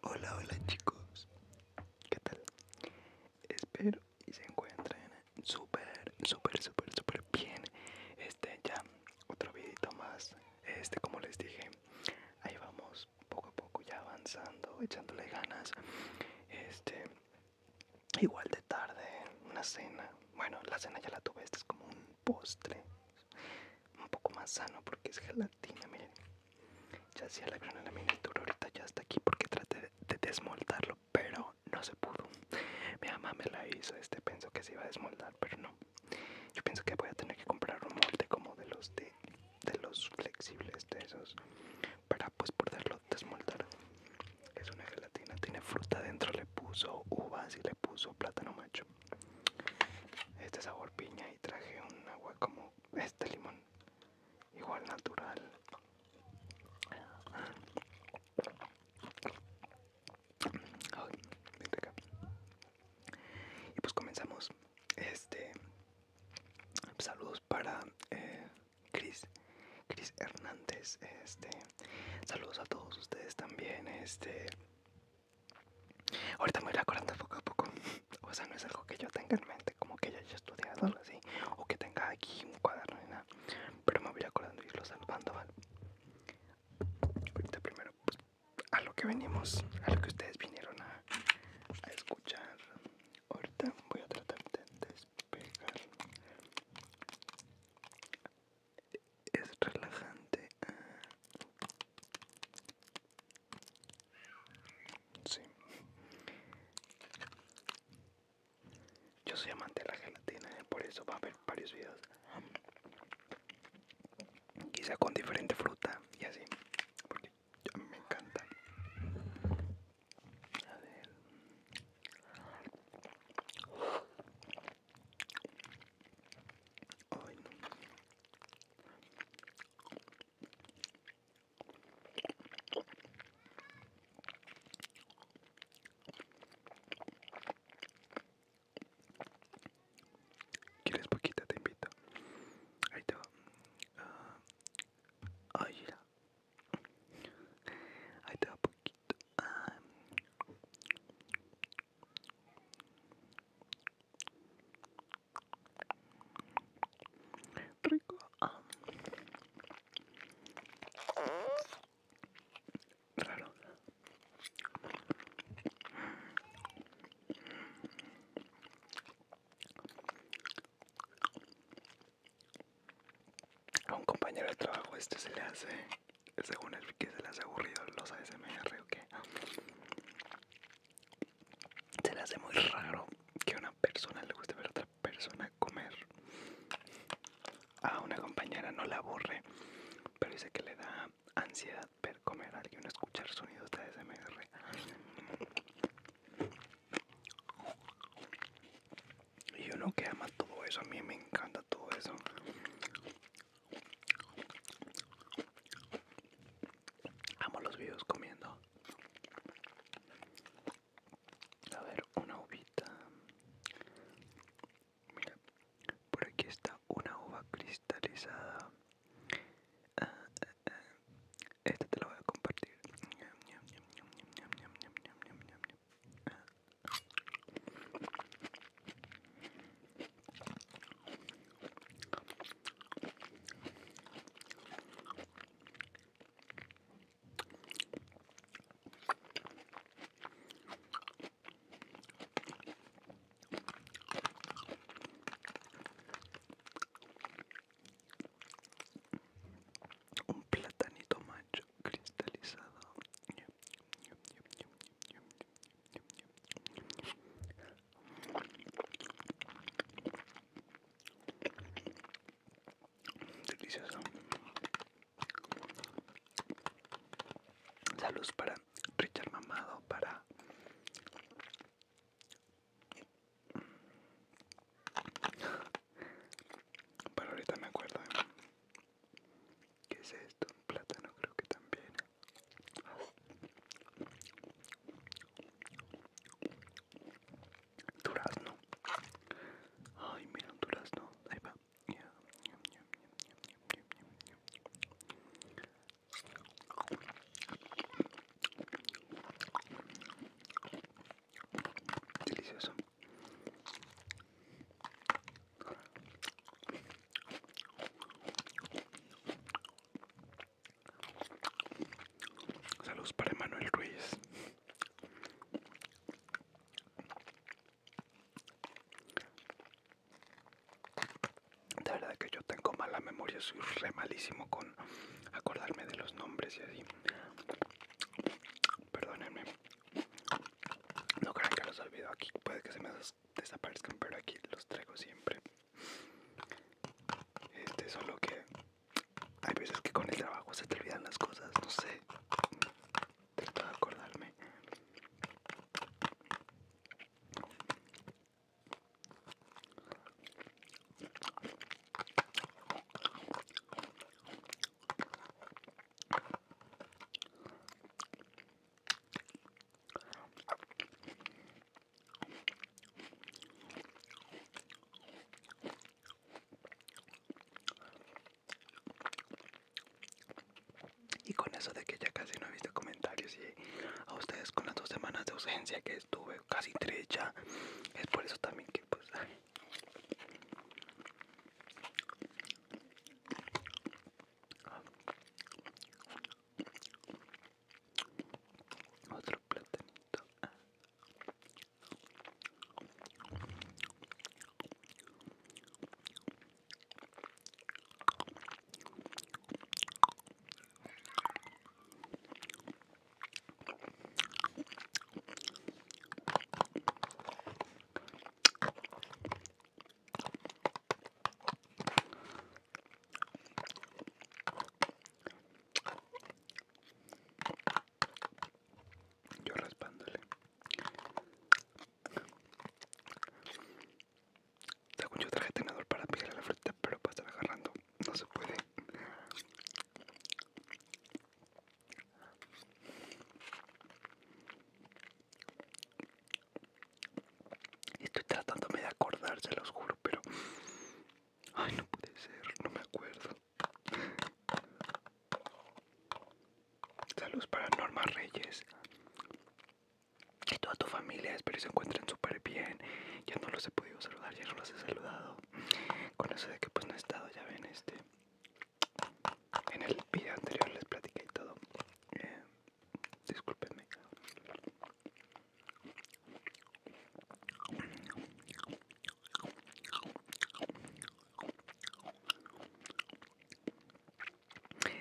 Hola, hola chicos, ¿qué tal? Espero y se encuentren súper, súper, súper, súper bien. Este ya, otro videito más. Este, como les dije, ahí vamos poco a poco ya avanzando, echándole ganas. Este, igual de tarde, una cena. Bueno, la cena ya la tuve, este es como un postre un poco más sano porque es gelatina, miren. Ya hacía la acción en la miniatura, ahorita ya está aquí porque traté de, desmoldarlo, pero no se pudo. Mi mamá me la hizo, este pensó que se iba a desmoldar, pero no. Yo pienso que voy a tener que comprar un molde como de los de, de los flexibles de esos para pues poderlo desmoldar. Es una gelatina, tiene fruta adentro, le puso uvas y le puso plátano macho este sabor piña y traje un agua como este limón igual natural y pues comenzamos este saludos para eh, Chris Chris Hernández este saludos a todos ustedes también este Ahorita me voy acordando poco a poco. O sea, no es algo que yo tenga en mente, como que ya haya estudiado así, o que tenga aquí un cuaderno ni nada. Pero me voy acordando y irlo salvando, ¿vale? Ahorita primero pues, a lo que venimos, a lo que ustedes vinieron a escuchar. Ahorita voy a tratar de despegar. Es relajante Sí. Yo soy amante de la gelatina, eh, por eso va a haber varios videos. Quizá con diferente fruta y así. Porque me encanta. A ver. ¿Quieres poquito? Te invito. Ahí te va. Ah, Ahí te poquito. Ah. Rico. Raro. A un compañero de trabajo este se le hace, según el que se le hace aburrido los ASMR o qué. Se le hace muy raro que a una persona le guste ver a otra persona comer. A una compañera no la aburre, pero dice que le da ansiedad ver comer a alguien, escuchar sonidos de ASMR. Y uno que ama todo eso, a mí me encanta todo eso. Amo los videos comiendo. A ver, una uvita. Mira, por aquí está una uva cristalizada. Ah, ah, ah. Esta te la voy a compartir. Un platanito macho cristalizado. Delicioso. Saludos para Richard Mamado, para para ahorita me acuerdo ¿Qué es esto? Un plátano creo que también Durazno. Ay, mira, un durazno. Ahí va. Delicioso. Saludos para Emanuel Ruiz. De verdad que yo tengo mala memoria, soy re malísimo con acordarme de los nombres y así. Perdónenme. No crean que los olvido aquí, puede que se me desaparezcan, pero aquí los traigo siempre. Este, solo que hay veces que con el trabajo se te olvidan las cosas, no sé. Trato de acordarme. Y con eso de que ya casi no he visto comentarios y a ustedes con las dos semanas de ausencia que estuve, casi trecha es por eso también que pues... Otro platanito. Yo raspándole. Según yo traje tenedor para pillarle a la fruta, pero para estar agarrando no se puede. Estoy tratándome de acordar, se los juro, pero... Ay, no puede ser, no me acuerdo. Saludos para Norma Reyes. Y toda tu familia, espero que se encuentren súper bien. Ya no los he podido saludar, ya no los he saludado. Con eso de que pues no he estado, ya ven, este... En el video anterior les platicé y todo. Eh, Disculpenme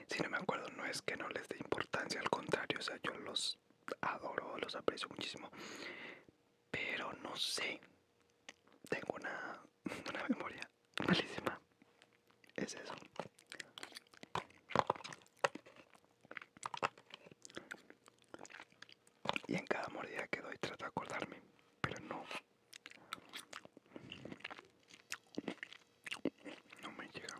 si no me acuerdo, no es que no les dé importancia, al contrario, o sea, yo los adoro, los aprecio muchísimo, pero no sé, tengo una, una memoria malísima, es eso. Y en cada mordida que doy trato de acordarme, pero no. No me llega.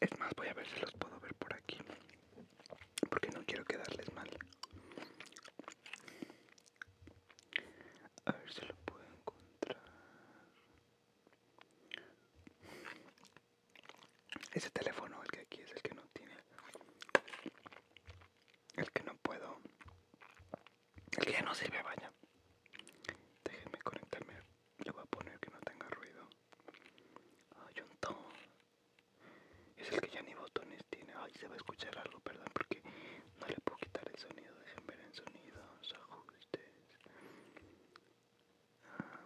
Es más, voy a ver si los puedo ver por aquí. Porque no quiero quedarles mal. A ver si lo puedo encontrar. Ese teléfono, el que aquí es el que no tiene. El que no puedo. El que ya no sirve, vaya. Déjenme conectarme. Le voy a poner que no tenga ruido. Hay un es el que ya ni botones tiene. Ay, se va a escuchar algo, perdón, porque no le puedo quitar el sonido. Dejen ver sonido, sonido ajustes. Ah,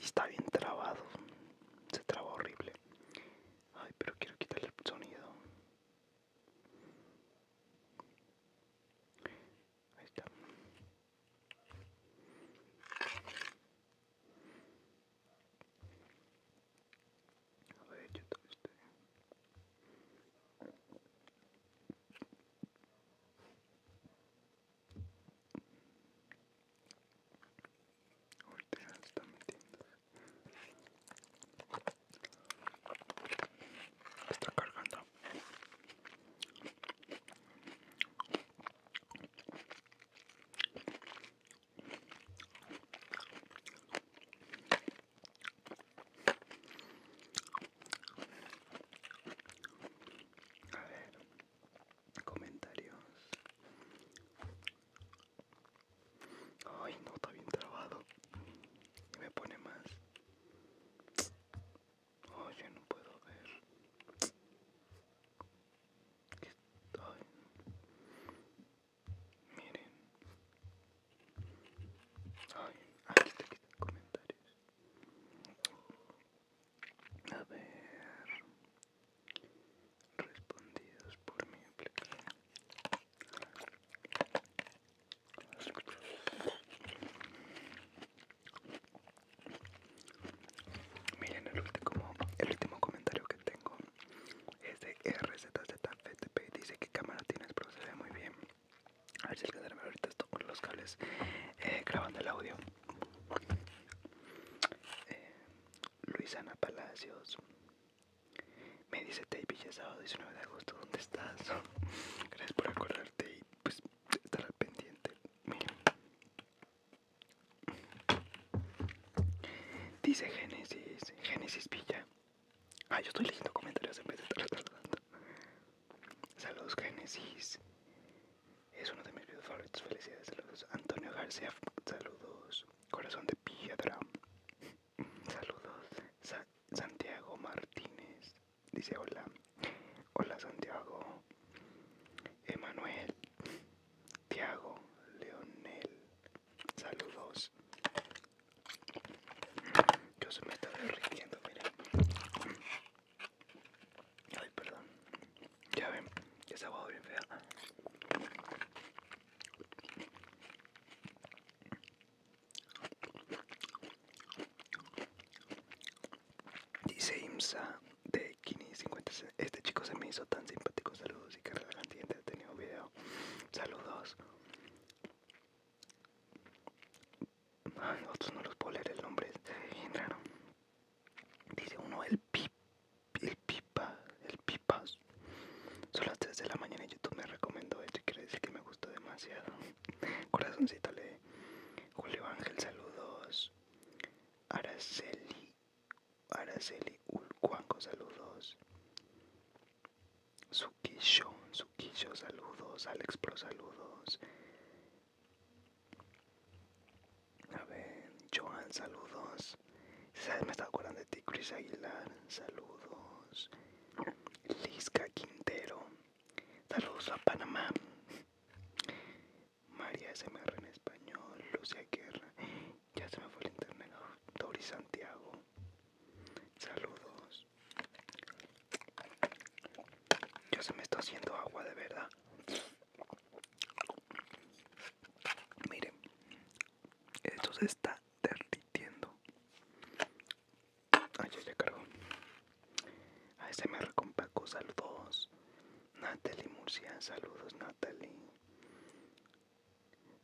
está bien trabado. Se traba horrible. Ay, pero quiero quitarle el sonido. Ahí está. A ver, yo metiendo. Está cargando. A ver, comentarios. Ay, no, está bien trabado. me pone más. Oye, no puedo ver. estoy. Miren. Ay, aquí está, aquí comentarios. A ver. Respondidos por mi aplicación. Miren el último, el último comentario que tengo es de RZZFTP. Dice que cámara tienes, pero se ve muy bien. A ver si alcanzarme ahorita esto con los cables eh, grabando el audio. Eh, Luisana Palacios me dice Tape, ya sábado 19 de agosto, ¿dónde estás? Gracias por acordarte y pues, estar al pendiente. mira Dice Génesis, Génesis pilla Ah, yo estoy leyendo comentarios en vez de estar Saludos, Génesis. Es uno de mis videos favoritos. Felicidades, saludos. Antonio García, saludos. Corazón de Piedra. Saludos. Santiago Martínez. Dice hola. Hola Santiago. Emanuel. Tiago. Leonel. Saludos. Yo se me está derritiendo, mira Ay, perdón. Ya ven, ya esa agua bien fea. Dice IMSA, de Kini50. Este chico se me hizo tan simpático. Saludos y que relajante y video. Saludos. otros no los puedo leer el nombre. es Dice uno el pip, el pipa, el pipas. Son las 3 de la mañana y YouTube me recomendó esto y quiere decir que me gustó demasiado. Corazoncito le Julio Ángel, saludos. Araceli, Araceli cuanco saludos. Suquillo, Suquillo, saludos. Alex Pro, saludos. A ver, Joan, saludos. ¿Sabes? Me estaba acordando de ti, Chris Aguilar, saludos. Lisca Quintero, saludos a Panamá. María SMR en español, Lucia Guerra, ya se me fue el internet, Dori Santiago, saludos. Ya se me está haciendo agua de verdad. Miren, esto se está derritiendo. Ay, ya, se cargo a ASMR con Paco, saludos. Natalie Murcia, saludos Natalie.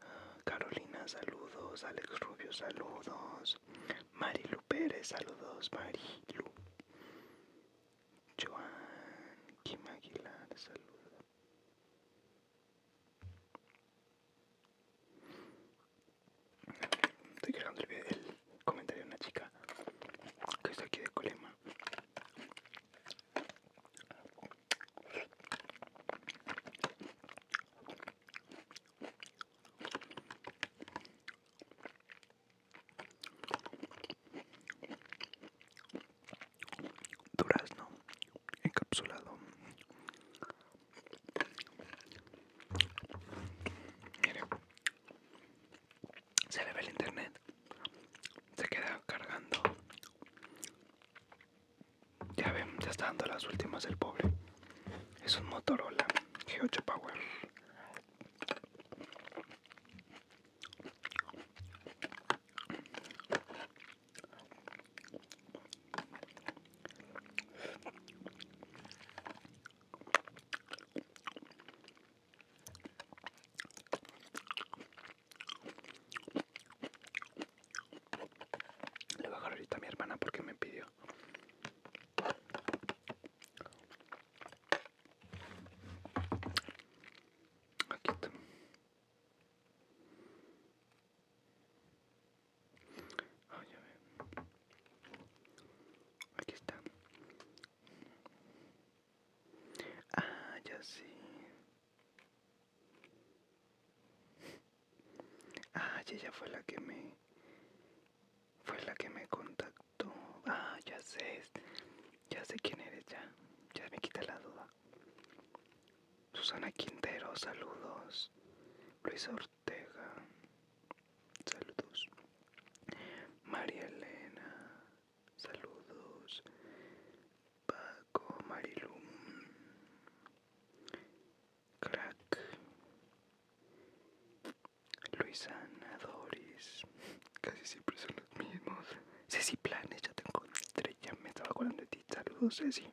Ah, Carolina, saludos. Alex Rubio, saludos. Marilu Pérez, saludos. Marilu. Joan Kim Aguilar, saludos. Estoy el, comentario una chica que está aquí de Colema. Durazno encapsulado se le ve el internet se queda cargando ya ven ya está dando las últimas del pobre es un Motorola G8 Power le voy a agarrar ahorita a mi hermana porque me pidió. Aquí está. Ah, Aquí está. Ah, ya sé. Ah, ya ella fue la que me... Fue la que me contactó. Ah, ya sé. Ya sé quién eres ya. Ya me quita la duda. Susana Quintero, saludos. Luis Ortega. Saludos. María Elena. Saludos. Paco Marilum. Crack. Luisana Doris. Casi siempre son los mismos. Ceci Planes, ya te encontré. Ya me estaba acordando de ti. Saludos, Ceci.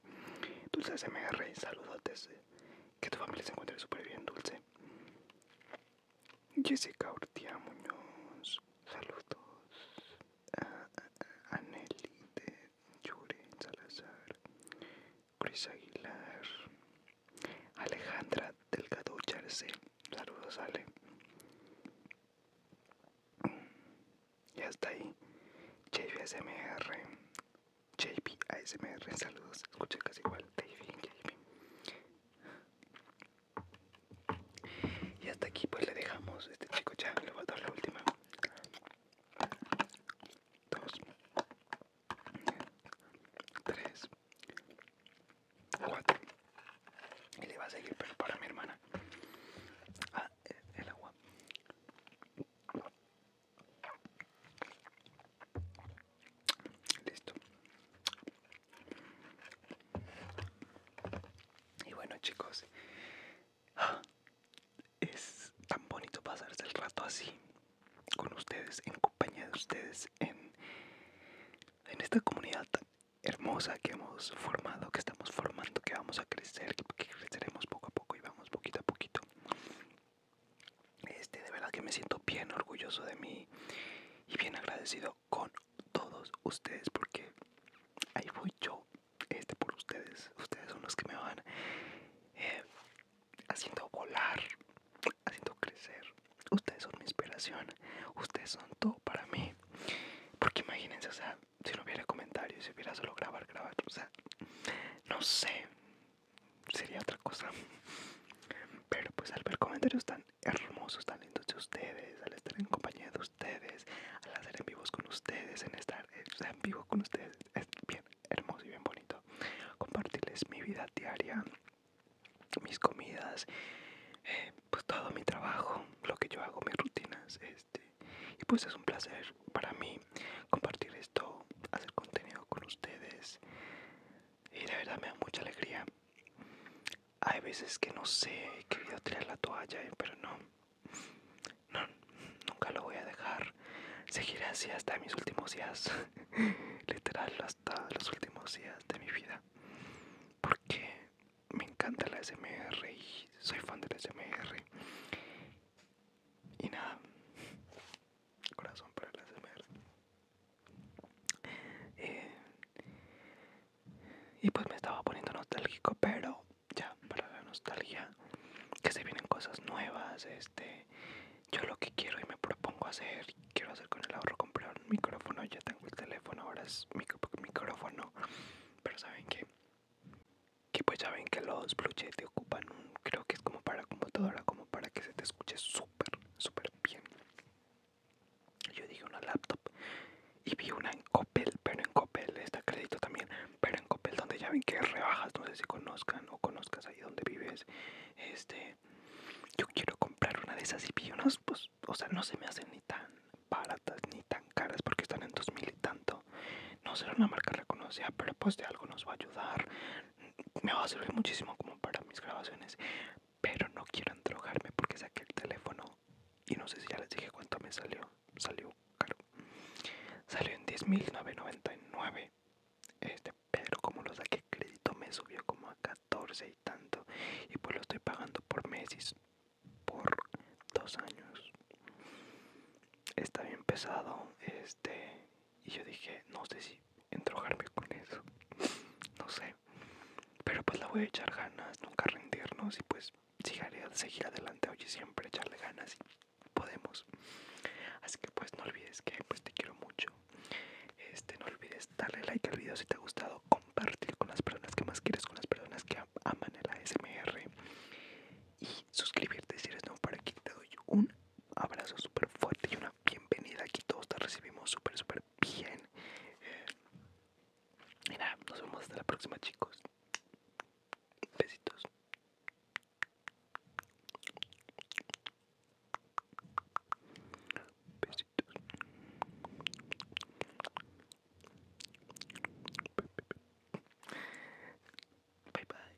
Dulce saludos Saludotes. Que tu familia se encuentre súper bien, Dulce. Jessica Ortia Muñoz, saludos. A, de Salazar, Cris Aguilar, Alejandra Delgado Charce, saludos Ale. ya está ahí, JPMR JBASMR, saludos, escucha casi igual, y hasta aquí pues le dejamos. Este chico ya le voy a dar la última. Dos. Tres. Cuatro. Y le va a seguir, pero para mi hermana. Ah, e-, el agua. Listo. Y bueno chicos, ¡ah! es tan bonito pasarse el rato así con ustedes, en compañía de ustedes, en, en esta comunidad tan hermosa que hemos formado, que estamos formando, que vamos a crecer, que creceremos poco a poco y vamos poquito a poquito. Este, de verdad que me siento bien orgulloso de mí y bien agradecido con todos ustedes porque ahí voy yo, este por ustedes, ustedes son los que me van eh, haciendo volar, haciendo crecer, ustedes son mi inspiración, ustedes son todo para mí, porque imagínense, o sea, si no hubiera comentarios, si hubiera solo grabar, grabar, o sea, no sé, sería otra cosa, pero pues al ver comentarios están hermosos, lindos de ustedes, al estar en compañía de ustedes, al hacer en vivos con ustedes, en estar eh, en vivo con ustedes. Es bien hermoso y bien bonito. Compartirles mi vida diaria, mis comidas, eh, pues todo mi trabajo, lo que yo hago, mis rutinas. Este, y pues es un placer para mí compartir esto, hacer contenido con ustedes y de verdad me da mucha alegría. Hay veces que no sé, he querido tirar la toalla, eh, pero no, no, nunca lo voy a dejar. Seguir así hasta mis últimos días, literal, hasta los últimos días de mi vida. Porque me encanta la SMR y soy fan de la SMR. Y nada, corazón para la SMR. Eh, y pues me estaba poniendo nostálgico, pero ya, para la nostalgia, que se vienen cosas nuevas, este, yo lo que quiero y me propongo hacer, quiero hacer con el ahorro, comprar un micrófono, ya tengo el teléfono, ahora es mi micrófono, pero saben que, que pues ya ven que los Blue te ocupan creo que es como para computadora, como para que se te escuche súper, súper bien. Yo dije una laptop y vi una en Coppel, pero en copel está crédito también, pero en copel donde ya ven que rebajas, no sé si conozcan o conozcas ahí donde vives. Este, yo quiero comprar una de esas y vi unas, pues, o sea, no se me hacen ni tan baratas ni tan caras porque están en 2000 y tanto. No será una marca reconocida, ah, pero pues de algo nos va a ayudar. Me va a servir muchísimo como para mis grabaciones, pero no quiero entrojarme porque saqué el teléfono y no sé si ya les dije cuánto me salió. Salió caro. Salió en 10.999. Este, pero como lo saqué crédito me subió como a 14 y tanto. Y pues lo estoy pagando por meses. Por dos años. Está bien pesado. Este. Y yo dije, no sé si entrojarme con eso. no sé. Pero pues la voy a echar ganas, nunca rendirnos y pues seguir adelante. Oye, siempre echarle ganas y podemos. Así que pues no olvides que pues te quiero mucho. Este, no olvides darle like al video si te ha gustado, compartir con las personas que más quieres, con las personas que aman el ASMR y suscribirte si eres nuevo para aquí. Te doy un abrazo súper fuerte y una bienvenida aquí. Todos te recibimos súper, súper bien. Y eh, nos vemos hasta la próxima, chicos. Besitos. Besitos. Bye bye.